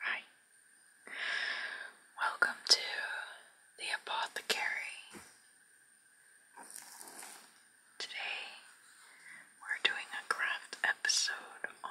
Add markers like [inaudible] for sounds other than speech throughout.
Hi. Welcome to the apothecary. Today we're doing a craft episode on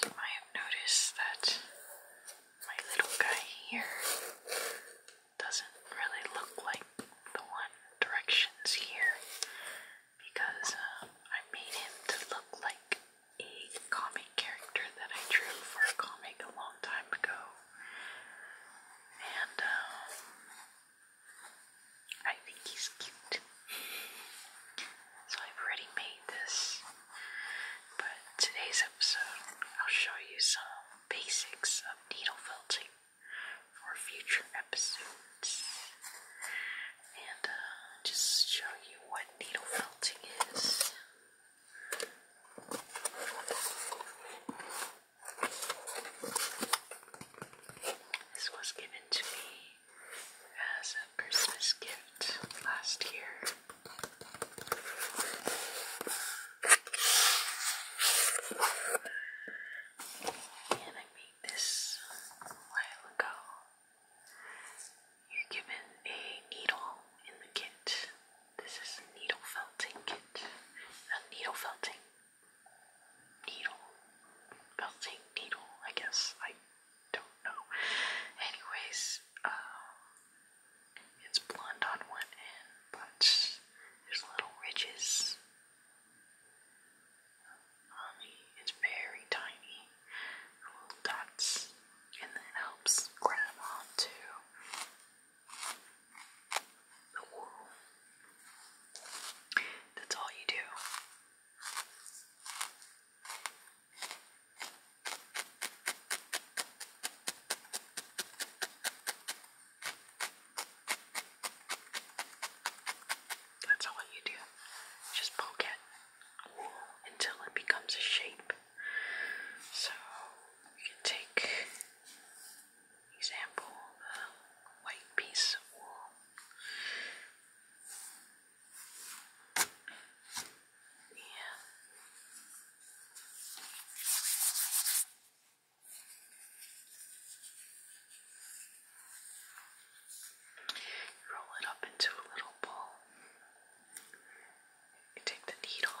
you might have noticed that my little guy here doesn't really look like the one directions here because um, I made him to look like a comic character that I drew for a comic a long time ago. And um, I think he's cute. So I've already made this, but today's episode I'll show you some basics of needle felting for future episodes. And uh, just show you what needle felting is. This was given to me as a Christmas gift last year. And I made this a while ago. You're given a needle in the kit. This is a needle felting kit. A needle felting needle, melting needle, I guess. I don't know. Anyways, um, it's blonde on one end, but there's little ridges um, it's very tiny little dots, and that helps grab onto the wool that's all you do. That's all you do. Just poke it until it becomes a shape. So you can take Example, the uh, white piece of wool. Yeah. Roll it up into a little ball. take the needle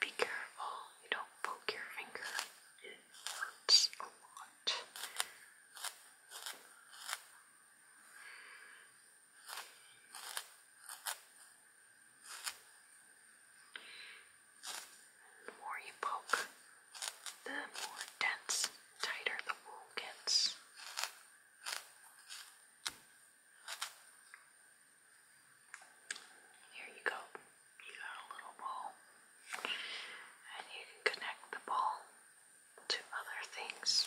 Be careful, you don't poke your finger, it hurts a lot. The more you poke, the more dense, tighter the wool gets. Here you go. You got a little ball. And you can connect the ball to other things.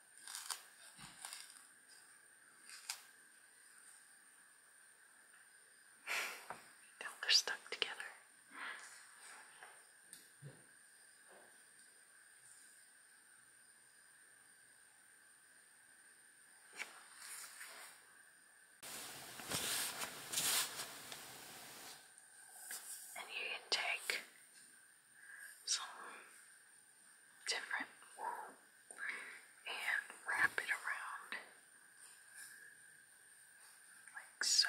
[sighs] they're stuck together. And you can take some different wool and wrap it around like so.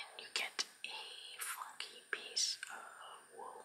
and you get a funky piece of wool.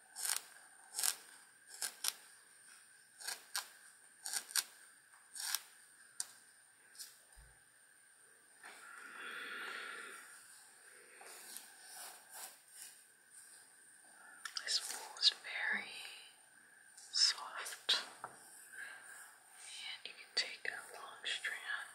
This wool is very soft, and you can take a long strand.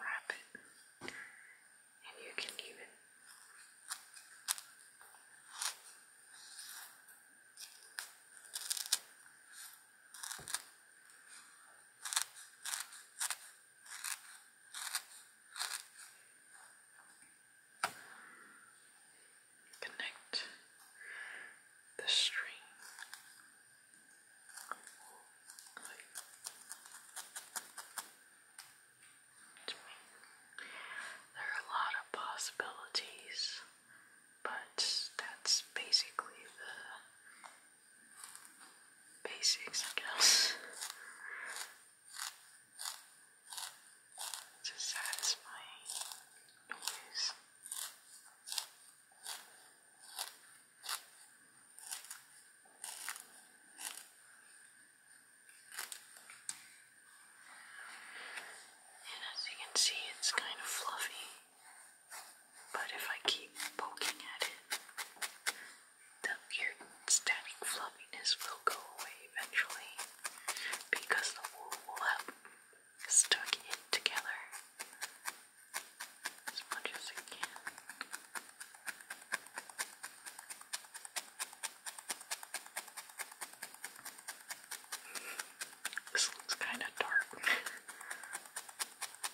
Wrap it, and you can even Connect the string There are a lot of possibilities, but that's basically the basics, I guess. It's a satisfying noise. And as you can see, it's kind of fluffy. But if I keep poking at it, the weird static fluffiness will go away eventually because the wool will have stuck it together as much as it can. This looks kind of dark. [laughs]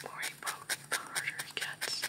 The more you poke, the harder he gets.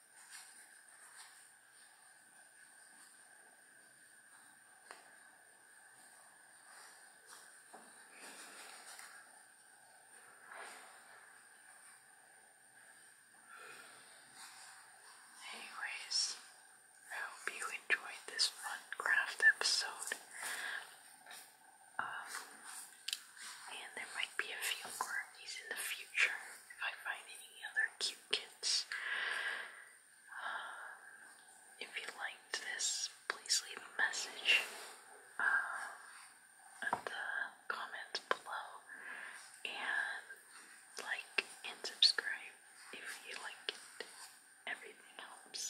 Anyways, I hope you enjoyed this fun craft episode. Um, and there might be a few more of these in the future if I find any other cute kits. Um, if you liked this, please leave a message at uh, the comments below and like and subscribe if you like it. Everything helps.